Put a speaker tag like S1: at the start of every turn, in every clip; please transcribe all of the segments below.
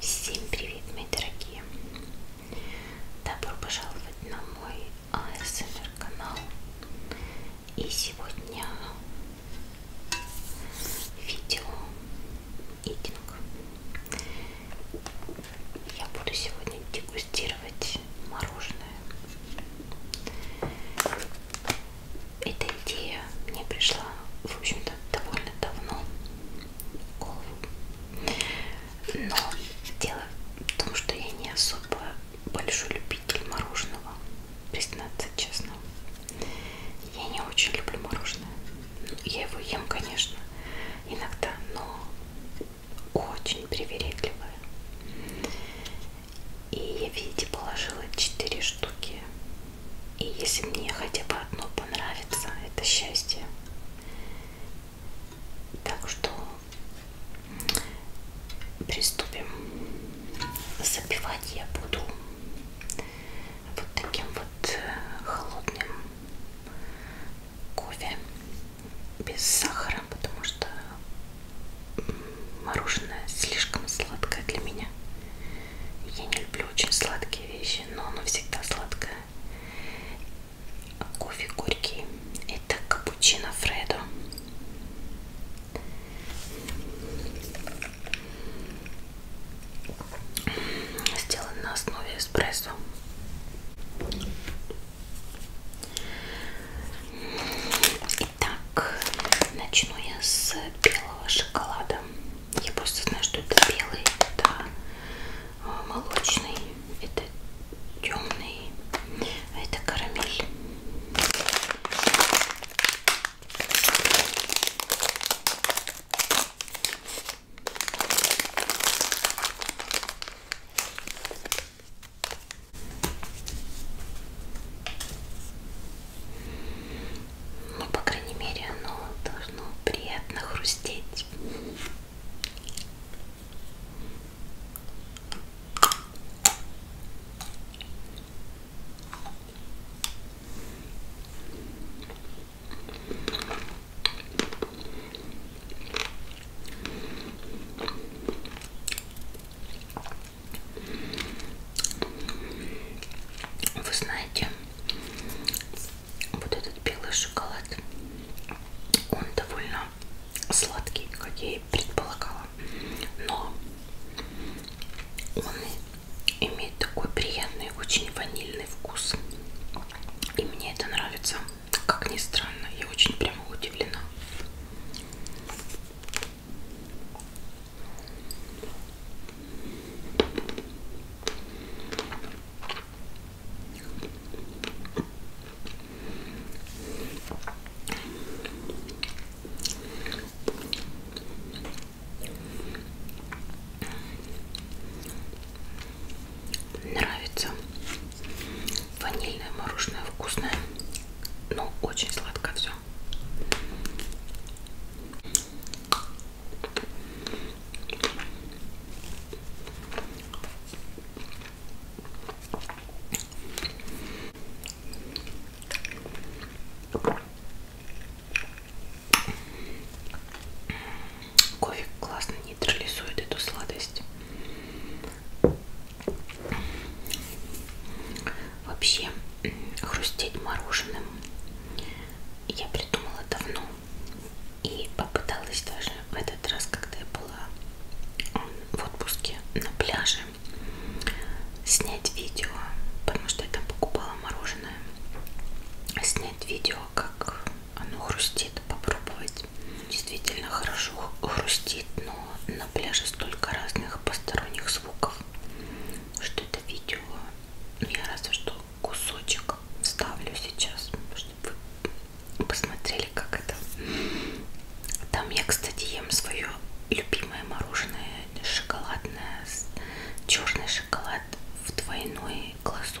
S1: Всем привет, мои дорогие! Добро пожаловать на мой ASMR канал. И сегодня видео идинг. Я буду сегодня дегустировать мороженое. Эта идея мне пришла, в общем-то, довольно давно в голову. Но дело в том, что я не особо большой любитель мороженого, признаться честно. Я не очень люблю мороженое. Ну, я его ем, конечно, иногда, но очень привередливая. И я, видите, положила 4 штуки. И если мне хотя бы одно понравится, это счастье. Так что приступим. Запивать я буду вот таким вот э, холодным кофе без сахара, потому что мороженое слишком сладкое для меня. Я не люблю очень сладкие вещи, но оно всегда сладкое. А кофе горький. Это капучино Фредо. Сделан на основе эспрессо. Итак, начну я с белого шоколада. Я просто знаю, что это белый, это а, молочный, это темный, а это карамель. Ну, по крайней мере, оно должно приятно хрустеть. Вы знаете, вот этот белый шоколад, он довольно сладкий, как я и предполагала, но он имеет такой приятный, очень ванильный вкус. И мне это нравится, как ни странно, я очень прямо удивлена. Нравится ванильное мороженое вкусное, но очень сладко все. Кофе классно нейтрализует эту сладость. Вообще, хрустеть мороженым я придумала давно и попыталась даже в этот раз, когда я была в отпуске на пляже, снять видео, потому что я там покупала мороженое, снять видео, как оно хрустит, попробовать. Действительно хорошо хрустит, но на пляже столько разных посторонних звуков, что это видео ну, я разве что кусочек ставлю сейчас, чтобы вы посмотрели, как это. Там я, кстати, ем свое любимое мороженое шоколадное, черный шоколад в двойной глазу.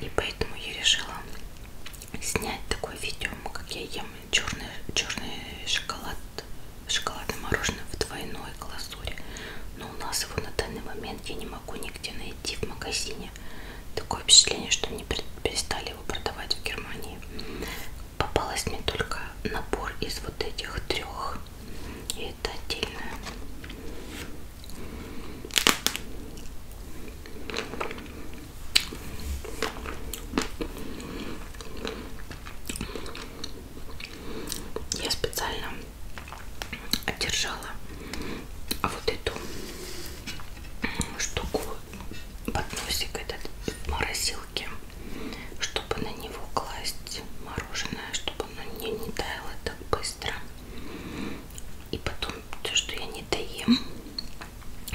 S1: И поэтому я решила снять такое видео, как я ем черный, черный шоколад, шоколадное мороженое в двойной глазури. Но у нас его на данный момент я не могу нигде найти в магазине. Такое впечатление, что они перестали его продавать в Германии попалась мне только набор из вот этих трех. И это отдельно. Я специально одержала вот эту штуку подносик этот в морозилке чтобы на него класть мороженое, чтобы оно не, не таяло так быстро. И потом то, что я не доем,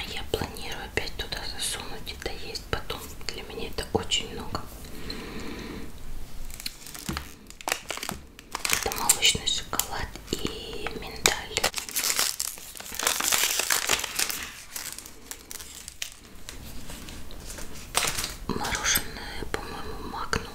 S1: я планирую опять туда засунуть и доесть потом. Для меня это очень много. Это молочный шоколад и миндаль мороженое, по-моему, Магнум.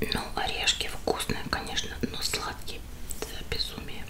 S1: Ну, орешки вкусные, конечно, но сладкие. Это безумие.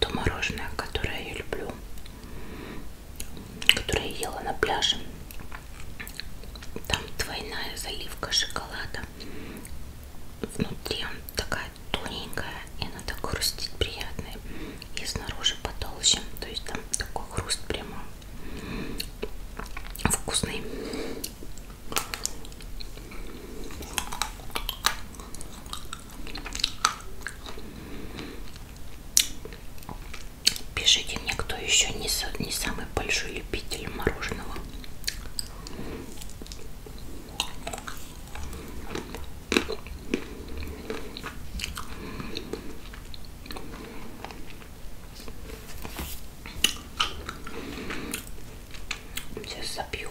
S1: то мороженое, которое я люблю, которое я ела на пляже. Там двойная заливка шоколада. Внутри он такая тоненькая, и она так хрустит приятно. И снаружи потолще. То есть там такой хруст прямо вкусный. Пишите мне, кто еще не, не самый большой любитель мороженого. Сейчас запью.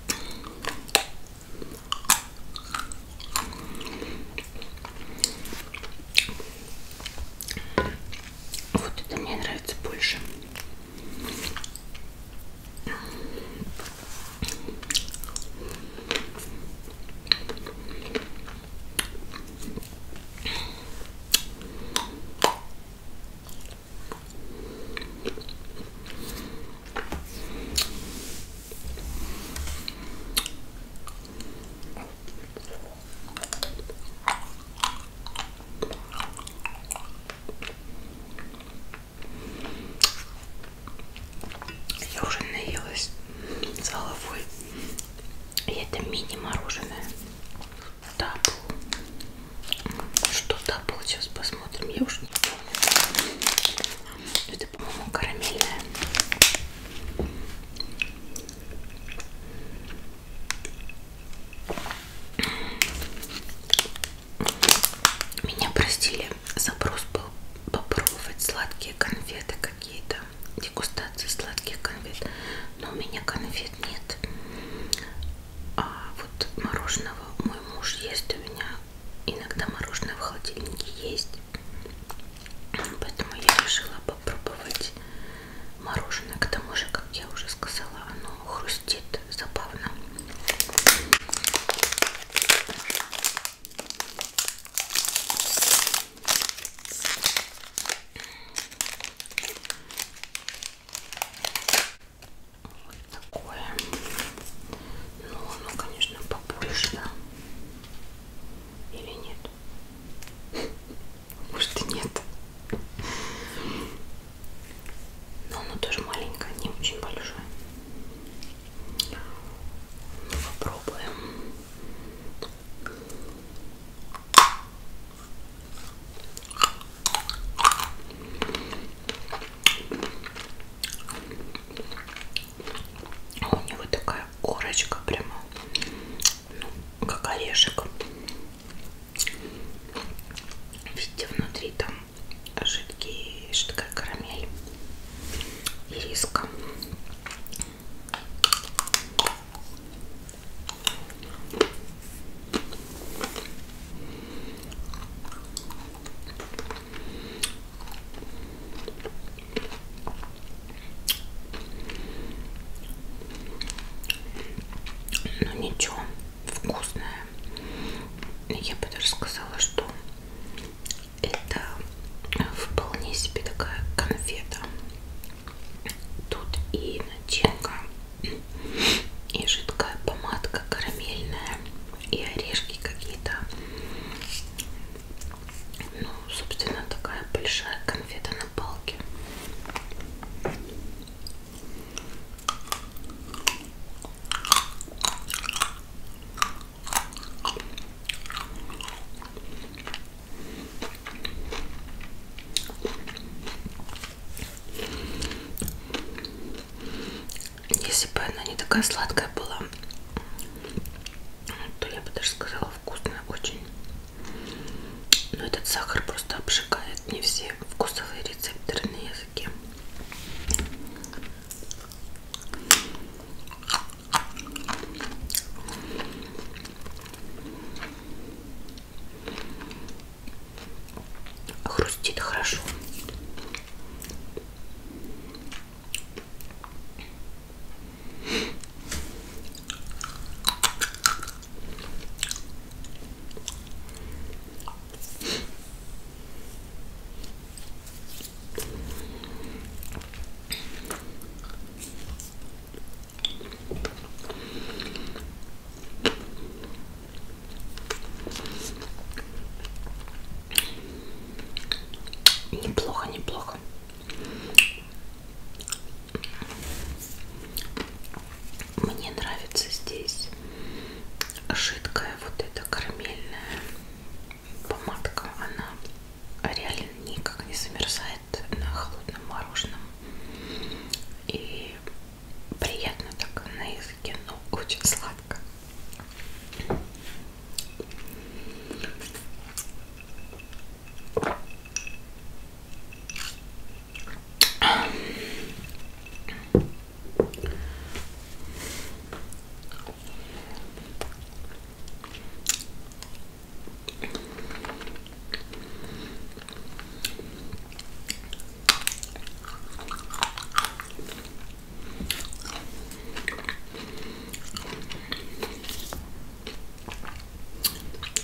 S1: Вот это мне нравится больше. Я уже наелась с головой. И это мини-мороженое табу. Что табу? Сейчас посмотрим. Я уже не помню. Это, по-моему, карамельная. Меня просили, запрос был попробовать сладкие конфеты какие-то, дегустации сладких конфет, но у меня конфет нет а вот мороженого мой муж ест у меня. Иногда мороженое в холодильнике есть. Поэтому я решила попробовать мороженое. К тому же, как я уже сказала, оно хрустит забавно. Вот такое. Ну, оно, ну, конечно, побольше, да? Или нет? Может и нет. Но оно тоже маленькое, не очень большое. Ну, попробуем. А у него такая корочка прямо, ну, как орешек. Видите, внутри там жидкий, жидкая карамель и риска. Ну ничего, вкусное. Я бы даже сказала, что это вполне себе такая конфета. Тут и начинка и жидкая помадка карамельная и орешки какие-то ну собственно такая большая конфета на палке если бы она не такая сладкая была, то я бы даже сказала вкусная очень. Но этот сахар просто обжигает не все вкусовые рецепторы на языке. Хрустит хорошо. Неплохо, неплохо. Мне нравится здесь жидкая вот эта карамельная помадка. Она реально никак не замерзает напоминает на холодном мороженом. И приятно так на языке, но очень сладко.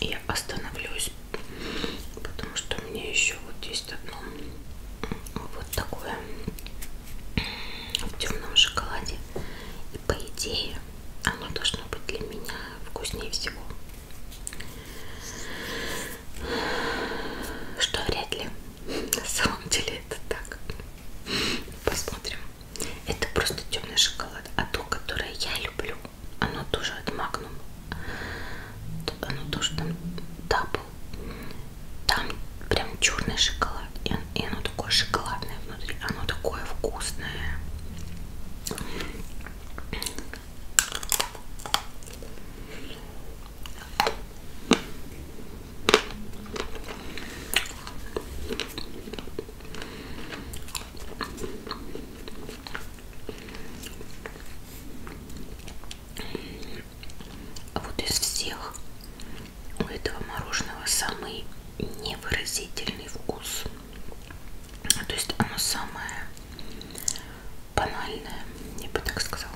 S1: Я остановлюсь, потому что мне еще вот есть одно вот такое в темном шоколаде. И по идее оно должно быть для меня вкуснее всего. Что вряд ли. На самом деле это так. Посмотрим. Это просто темный шоколад. А то, которое я люблю, оно тоже от Magnum. Оно тоже там дабл. Там прям черный шоколад. И оно такое шоколадное внутри. Оно такое вкусное. А вот из всех у этого мороженого самый невыразительный вкус. То есть оно самое банальное, я бы так сказала.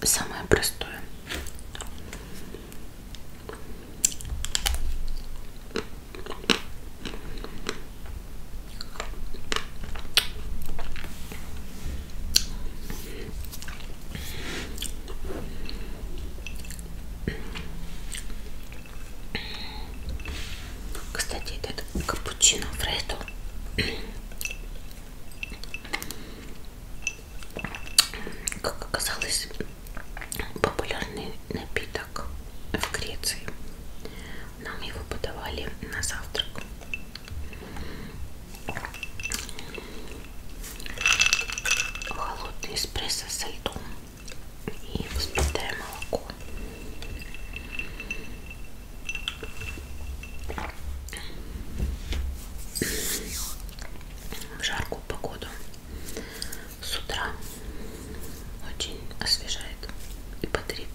S1: Вот самое простое. Кстати, этот капучино фредо как оказалось, популярный напиток в Греции. Нам его подавали на завтрак. Холодный эспрессо со льдом и взбитое молоко в жаркую погоду с утра очень освежает и бодрит.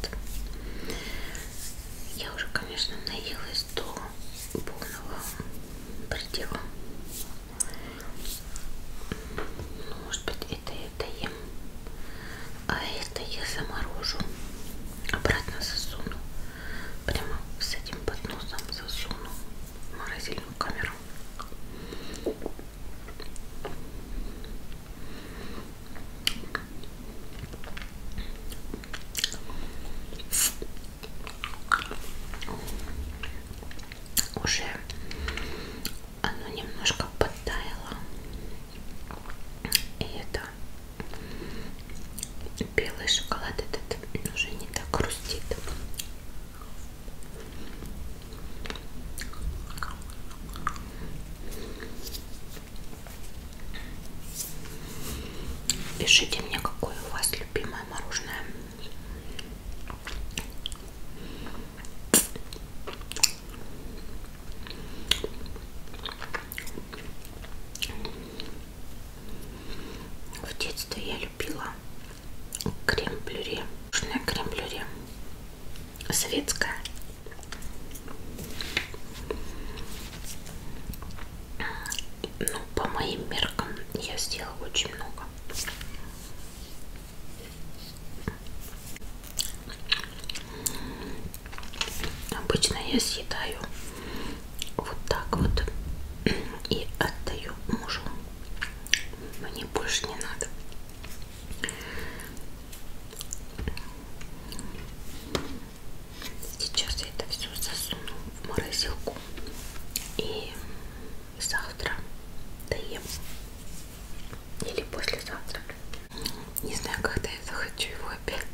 S1: Я уже, конечно, наелась до полного предела. Ну, может быть, это я доем, а это я заморожу, обратно засуну, прямо с этим подносом засуну в морозильную камеру. Уже оно немножко подтаяло. И это белый шоколад этот уже не так хрустит. Пишите мне, какое у вас любимое мороженое. В детстве я любила крем-блюре. Нужное крем-блюре. Советское. Ну, по моим меркам я сделала очень много. Обычно я съедаю вот так вот и отдаю мужу. Мне больше не надо. Сейчас я это все засуну в морозилку и завтра доем. Или послезавтра. Не знаю, когда я захочу его опять.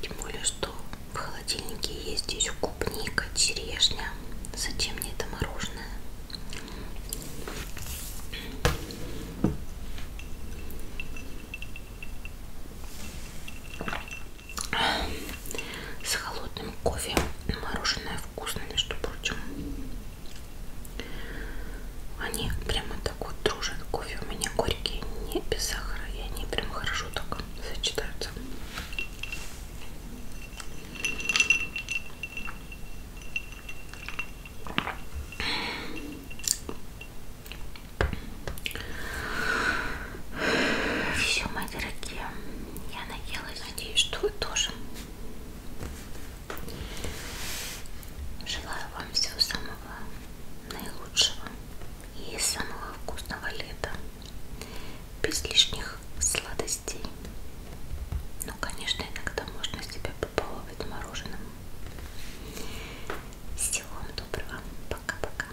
S1: Тем более, что в холодильнике есть здесь клубника, черешня. Зачем мне это мороженое? С холодным кофе мороженое в вкусный, между прочим. Они прямо так вот дружат. Кофе у меня горький, не без сахара. И они прям хорошо так сочетаются. Все, мои дорогие, я наелась Надеюсь, что вы тоже. Желаю вам всего самого наилучшего и самого вкусного лета. Без лишних сладостей. Ну, конечно, иногда можно себя побаловать мороженым. Всего вам доброго. Пока-пока.